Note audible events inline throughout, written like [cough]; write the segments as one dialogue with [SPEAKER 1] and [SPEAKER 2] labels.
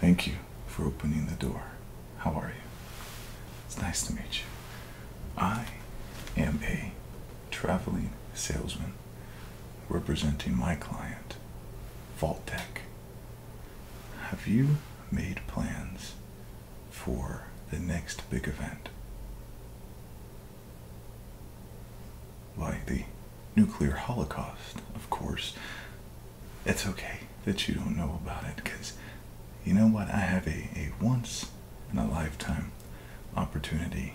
[SPEAKER 1] Thank you for opening the door. How are you? It's nice to meet you. I am a traveling salesman representing my client, Vault Have you made plans for the next big event? Why, the nuclear holocaust, of course. It's okay that you don't know about it because you know what? I have a, a once in a lifetime opportunity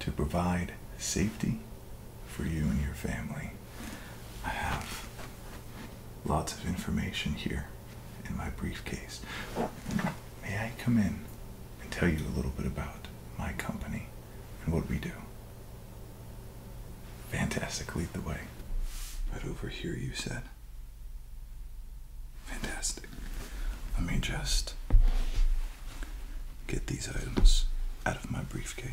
[SPEAKER 1] to provide safety for you and your family. I have lots of information here in my briefcase. May I come in and tell you a little bit about my company and what we do. Fantastic, lead the way. But over here, you said. Fantastic. Let me just get these items out of my briefcase.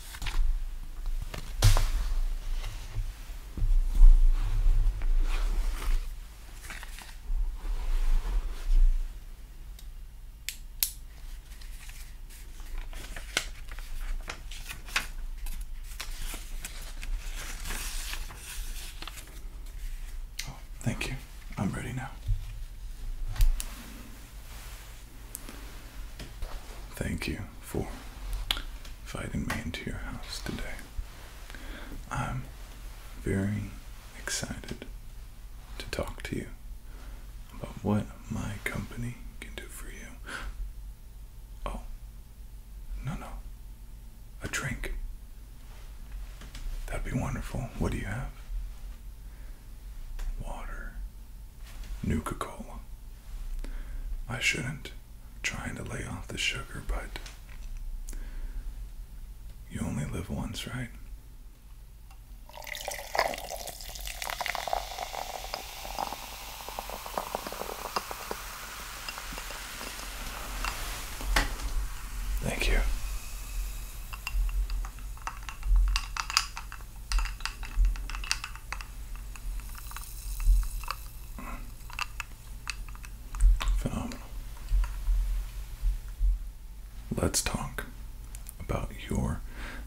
[SPEAKER 1] Oh, thank you. I'm ready now. Thank you for inviting me into your house today. I'm very excited to talk to you about what my company can do for you. Oh, no, no. A drink. That'd be wonderful. What do you have? Water. New Nuka Cola. I shouldn't. trying to lay off the sugar, but you only live once, right? Thank you. Let's talk about your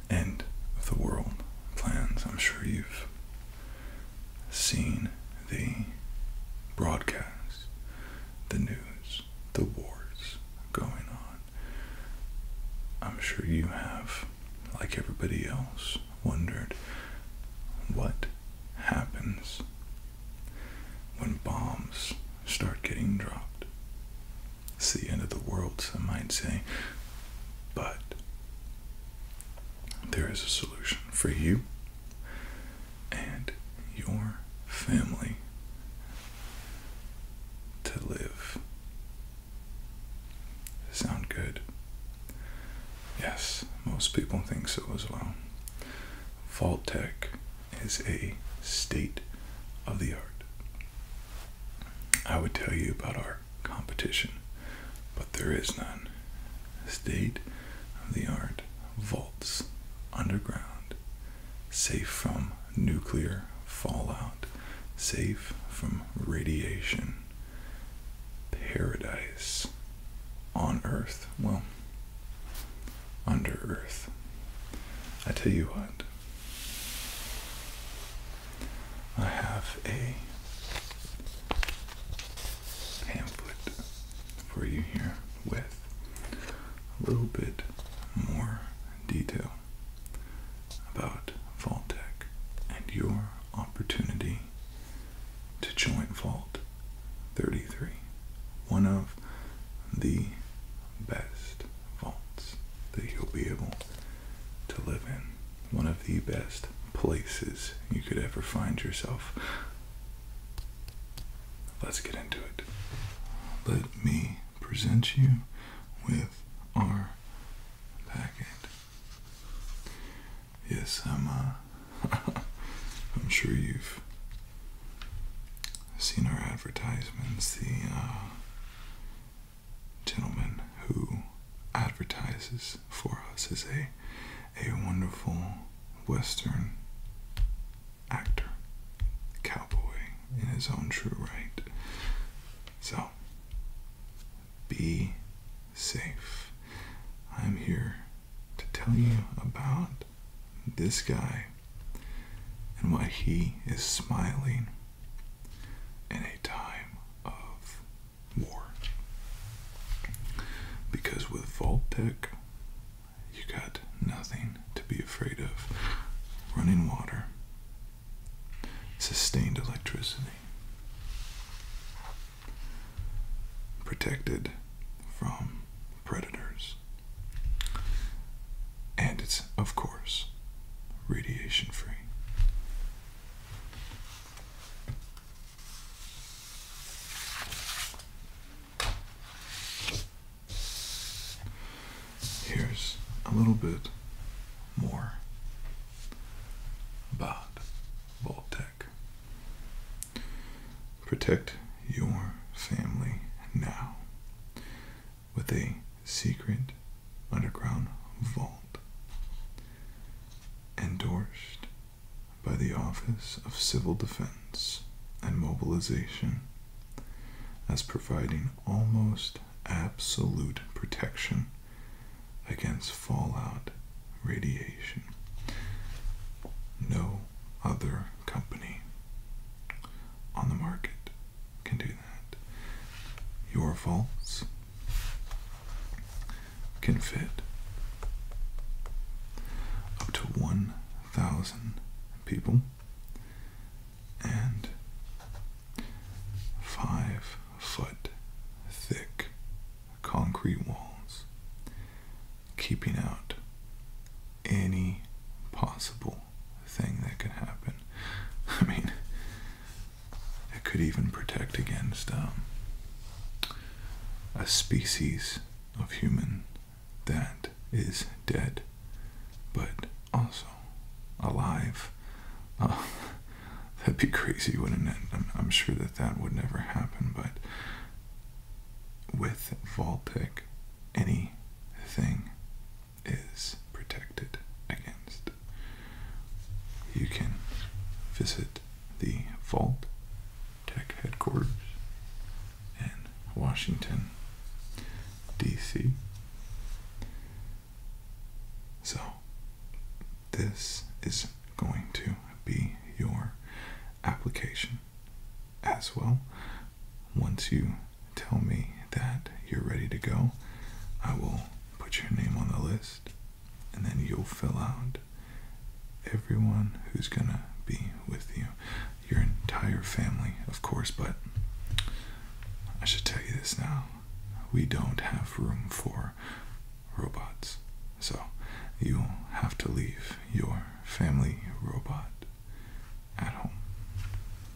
[SPEAKER 1] end of the world plans. I'm sure you've seen the broadcasts, the news, the wars going on. I'm sure you have, like everybody else, wondered what happens when bombs start getting dropped. It's the end of the world, some might say, but there is a solution for you and your family to live Sound good? Yes, most people think so as well. Vault Tech is a state of the art. I would tell you about our competition, but there is none. State of the art vaults underground, safe from nuclear fallout, safe from radiation, paradise on earth. Well, under earth. I tell you what, I have a pamphlet for you here with a little bit more detail about Vault-Tec and your opportunity to join Vault 33, one of the best vaults that you'll be able to live in, one of the best places you could ever find yourself. Let's get into it. Let me present you with our back Yes, I'm. Uh, [laughs] I'm sure you've seen our advertisements. The uh, gentleman who advertises for us is a a wonderful Western actor, cowboy in his own true right. So be safe. I'm here to tell you about this guy and why he is smiling in a time of war. Because with Vault Tech, you got nothing to be afraid of. Running water, sustained electricity. Protected from predators. And it's, of course, radiation free here's a little bit more about Vault Tech. Protect your family now with a secret underground vault endorsed by the Office of Civil Defense and Mobilization as providing almost absolute protection against fallout radiation. No other company on the market can do that. Your vaults can fit up to 1,000 people and five foot thick concrete walls, keeping out any possible thing that could happen. [laughs] I mean, it could even protect against um, a species of human that is dead but also alive. [laughs] that'd be crazy, wouldn't it? I'm, sure that that would never happen, but with Vault Tech, anything is protected against. You can visit the Vault Tech headquarters in Washington DC. So, this is going to be your application as well. Once you tell me that you're ready to go, I will put your name on the list and then you'll fill out everyone who's gonna be with you, your entire family, of course, but I should tell you this now. We don't have room for robots. So you'll have to leave your family robot at home.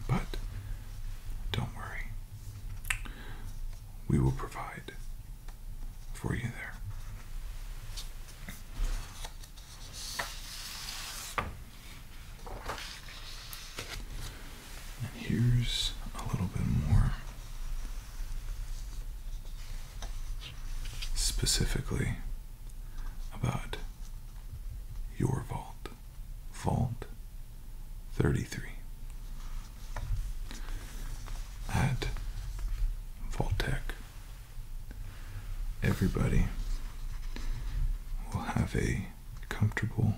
[SPEAKER 1] But don't worry. We will provide for you there. And here's a little bit more specifically about your vault, Vault 33. At vault everybody will have a comfortable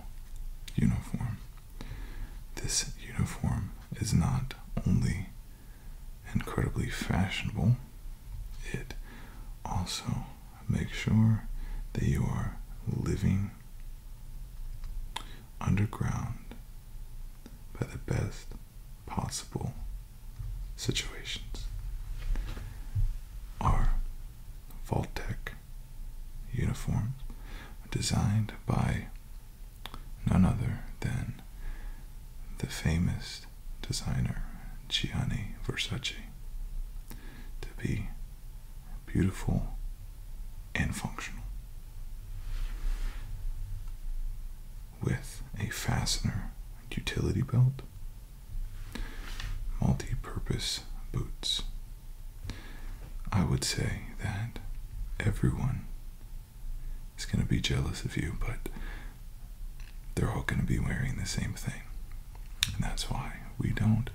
[SPEAKER 1] uniform. This uniform is not only incredibly fashionable, it also makes sure that you are living underground by the best possible situations. Our Voltec uniform, designed by none other than the famous designer Gianni Versace to be beautiful and functional with a fastener utility belt Multi-purpose boots. I would say that everyone is going to be jealous of you, but they're all going to be wearing the same thing. And that's why we don't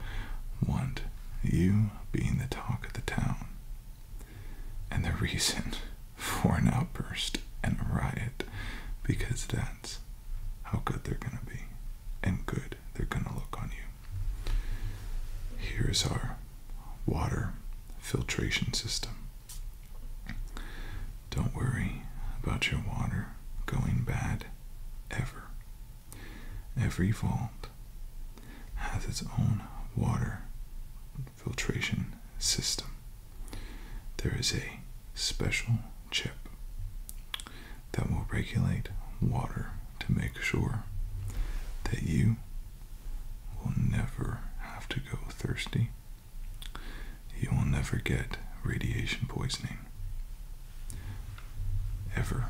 [SPEAKER 1] want you being the talk of the town and the reason [laughs] for an outburst and a riot because that how good they're going to be, and good they're going to look on you. Here's our water filtration system. Don't worry about your water going bad ever. Every vault has its own water filtration system. There is a special chip that will regulate water to make sure that you will never have to go thirsty. You will never get radiation poisoning. Ever.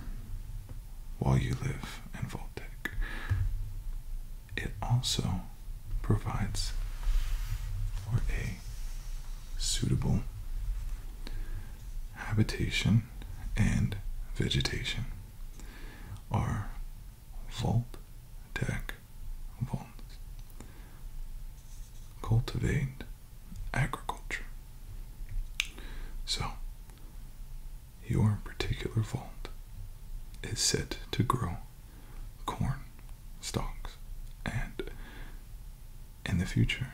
[SPEAKER 1] While you live in Voltec. It also provides for a suitable habitation and vegetation are vaulted, cultivated agriculture. So, your particular vault is set to grow corn stalks and in the future.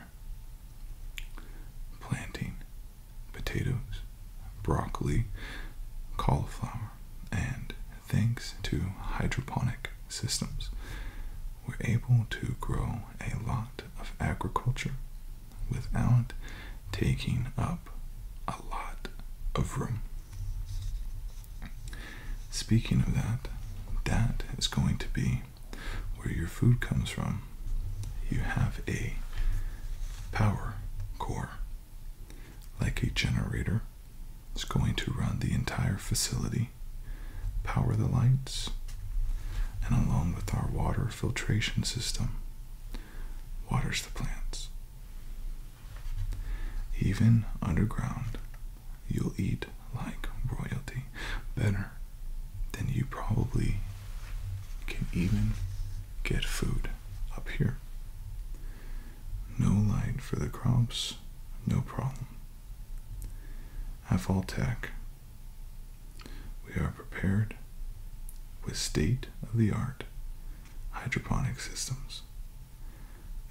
[SPEAKER 1] Planting potatoes, broccoli, cauliflower, and thanks to hydroponic systems, we're able to grow a lot of agriculture without taking up a lot of room. Speaking of that, that is going to be where your food comes from. You have a power core, like a generator. is going to run the entire facility, power the lights, and along with our water filtration system, waters the plants. Even underground, you'll eat like royalty better than you probably can even get food up here. No light for the crops, no problem. At Voltech, we are prepared with state of the art hydroponic systems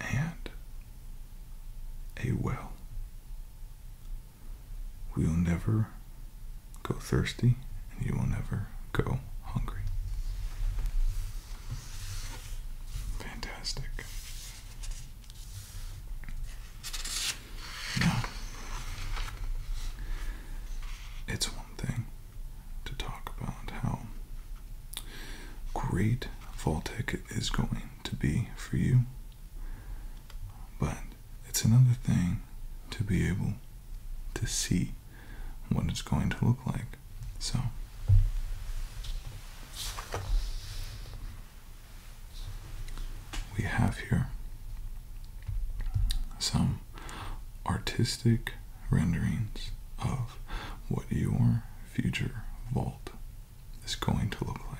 [SPEAKER 1] and a well. We will never go thirsty, and you will never go hungry. Fantastic. Now, it's one thing to talk about how great Voltec is going to be for you. But it's another thing to be able to see what it's going to look like. So, we have here some artistic renderings of what your future vault is going to look like.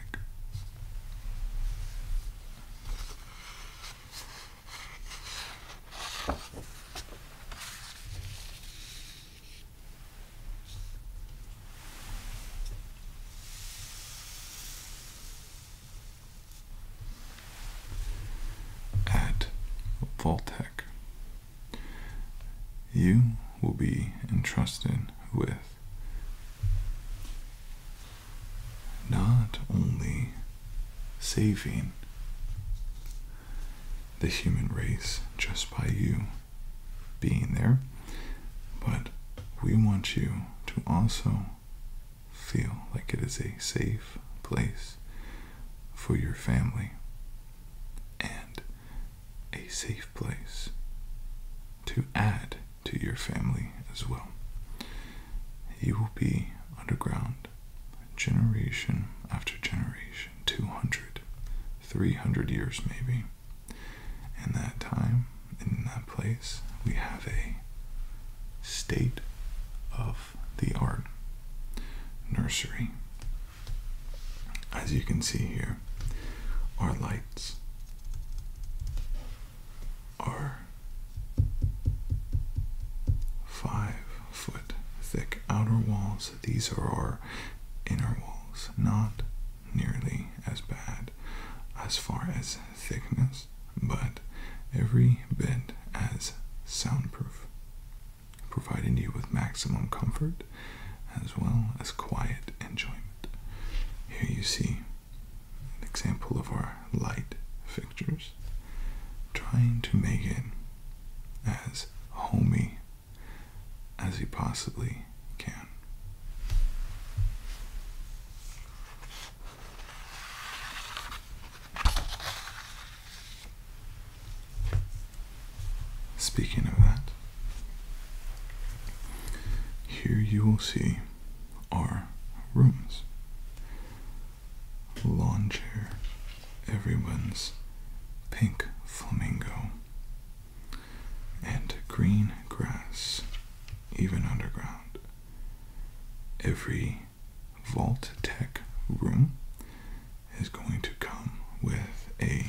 [SPEAKER 1] At Voltec you will be entrusted with not only saving the human race just by you being there, but we want you to also feel like it is a safe place for your family and a safe place to add to your family as well. You will be underground generation after generation, 200, 300 years maybe. And that time, in that place, we have a state of the art nursery as you can see here, our lights are five foot thick outer walls. These are our inner walls, not nearly as bad as far as thickness, but every bit as soundproof providing you with maximum comfort as well as quiet enjoyment. Here you see an example of our light fixtures, trying to make it as homey as you possibly can. Speaking of that, here you will see our rooms. lounge chair, everyone's pink flamingo, and green grass, even underground. Every Vault Tech room is going to come with a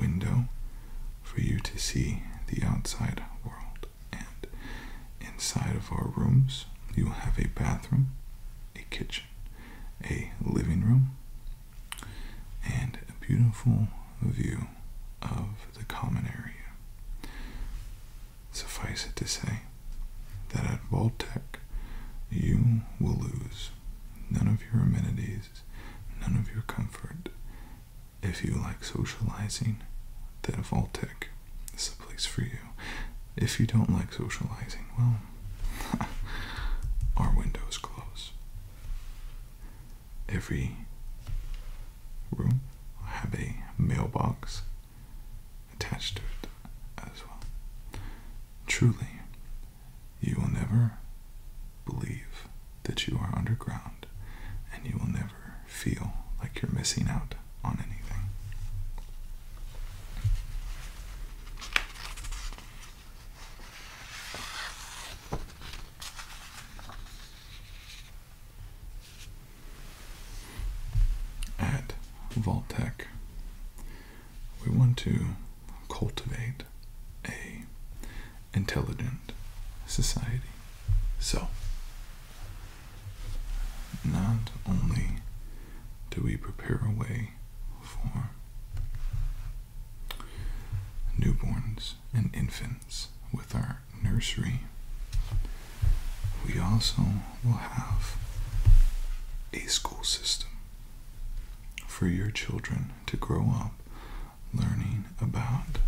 [SPEAKER 1] window for you to see the outside world. And inside of our rooms, you will have a bathroom, a kitchen, a living room, and a beautiful view of the common area. Suffice it to say that at Voltech, you will lose none of your amenities, none of your comfort. If you like socializing, then Voltech is the place for you. If you don't like socializing, well, [laughs] our windows close. Every room will have a mailbox attached to it as well. Truly you will never believe that you are underground and you will never feel like you're missing out on anything. At Vault we want to cultivate a intelligent society. So not only do we prepare a way for newborns and infants with our nursery, we also will have a school system for your children to grow up learning about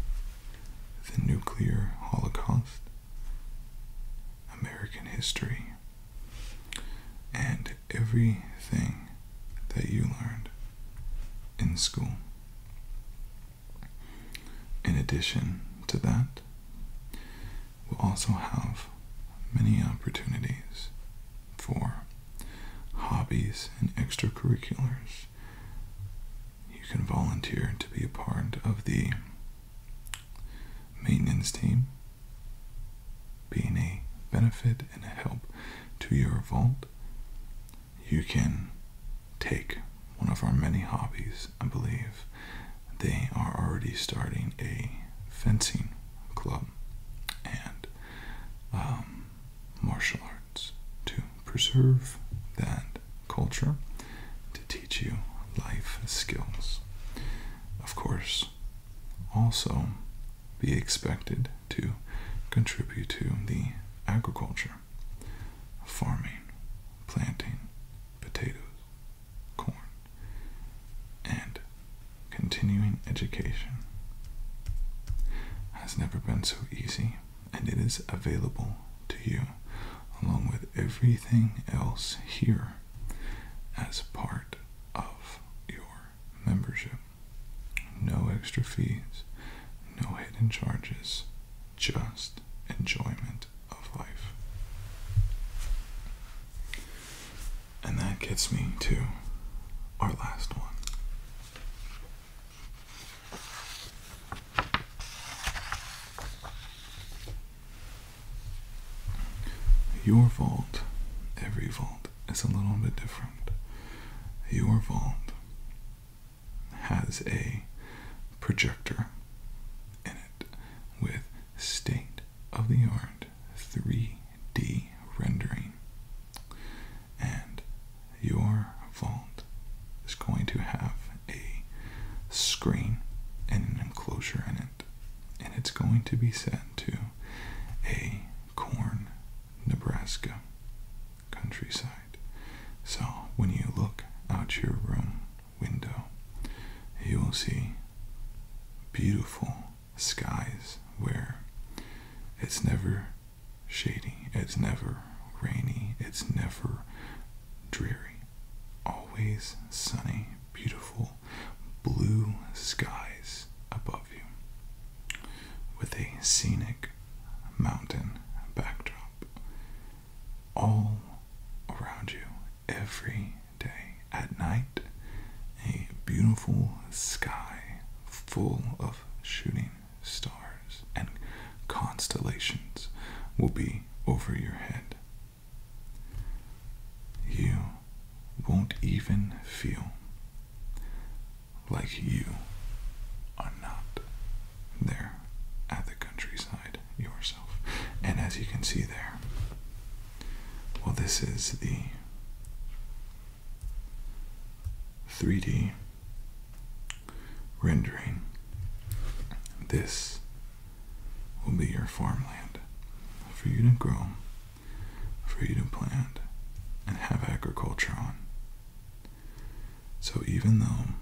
[SPEAKER 1] the nuclear holocaust, American history, and everything that you learned in school. In addition to that, will also have many opportunities for hobbies and extracurriculars. You can volunteer to be a part of the maintenance team, being a benefit and a help to your vault. You can take one of our many hobbies, I believe. They are already starting a fencing club and um, martial arts to preserve that culture, to teach you life skills. Of course, also be expected to contribute to the agriculture, farming, planting, potatoes, corn, and continuing education has never been so easy, and it is available to you along with everything else here as part of your membership. No extra fees, no hidden charges, just enjoyment of life. And that gets me to our last one. Your vault, every vault, is a little bit different. Your vault has a projector in it with state of the art 3D rendering. And your vault is going to have a screen and an enclosure in it. And it's going to be set to a corn, Nebraska countryside. So when you look out your room window, you will see beautiful skies where it's never shady, it's never rainy, it's never dreary. Always sunny, beautiful blue skies above you with a scenic mountain backdrop all around you every day. At night, a beautiful sky full of shooting stars and constellations will be over your head. You won't even feel like you are not there at the countryside yourself. And as you can see there, well, this is the 3D rendering. This will be your farmland for you to grow, for you to plant, and have agriculture on. So even though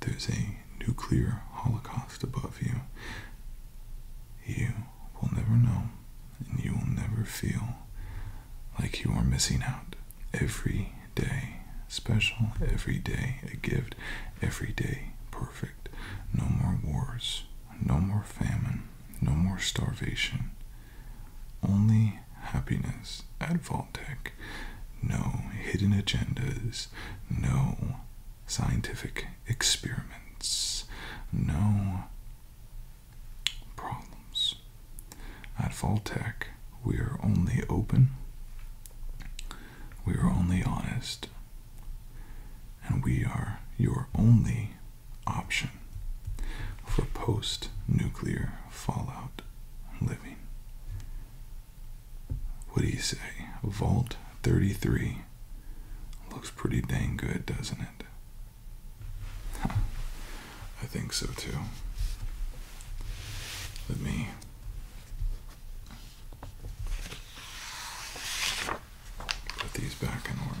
[SPEAKER 1] there's a nuclear holocaust above you, you will never know and you will never feel like you are missing out. Every day special, every day a gift, every day perfect. No more wars, no more famine, no more starvation. Only happiness at Vault No hidden agendas, no scientific experiments, no problems. At Voltech, we are only open, we are only honest, and we are your only option for post nuclear fallout living what do you say? Vault 33. Looks pretty dang good, doesn't it? [laughs] I think so too. Let me. Put these back in order.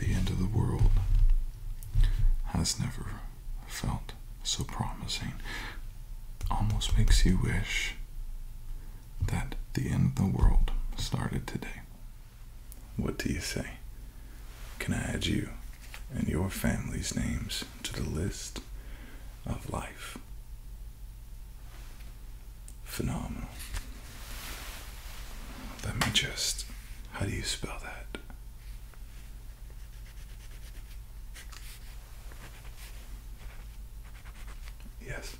[SPEAKER 1] The end of the world has never felt so promising. Almost makes you wish that the end of the world started today. What do you say? Can I add you and your family's names to the list of life? Phenomenal. Let me just. How do you spell that? Yes.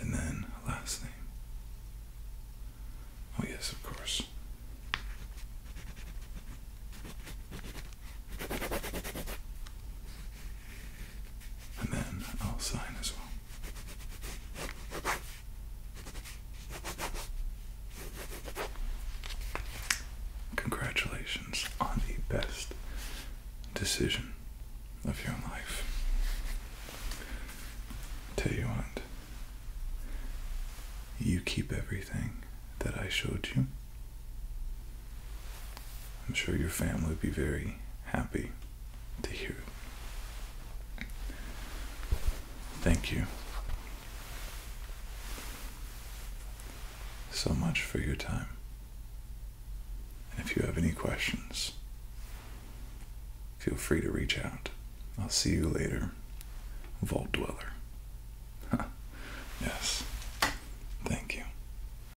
[SPEAKER 1] And then last name. Oh, yes, of course and then I'll sign as well. Congratulations on the best decision of your life. Tell you what, you keep everything that I showed you. I'm sure your family would be very happy to hear it. Thank you so much for your time. And if you have any questions, feel free to reach out. I'll see you later, Vault Dweller. [laughs] yes. Thank you.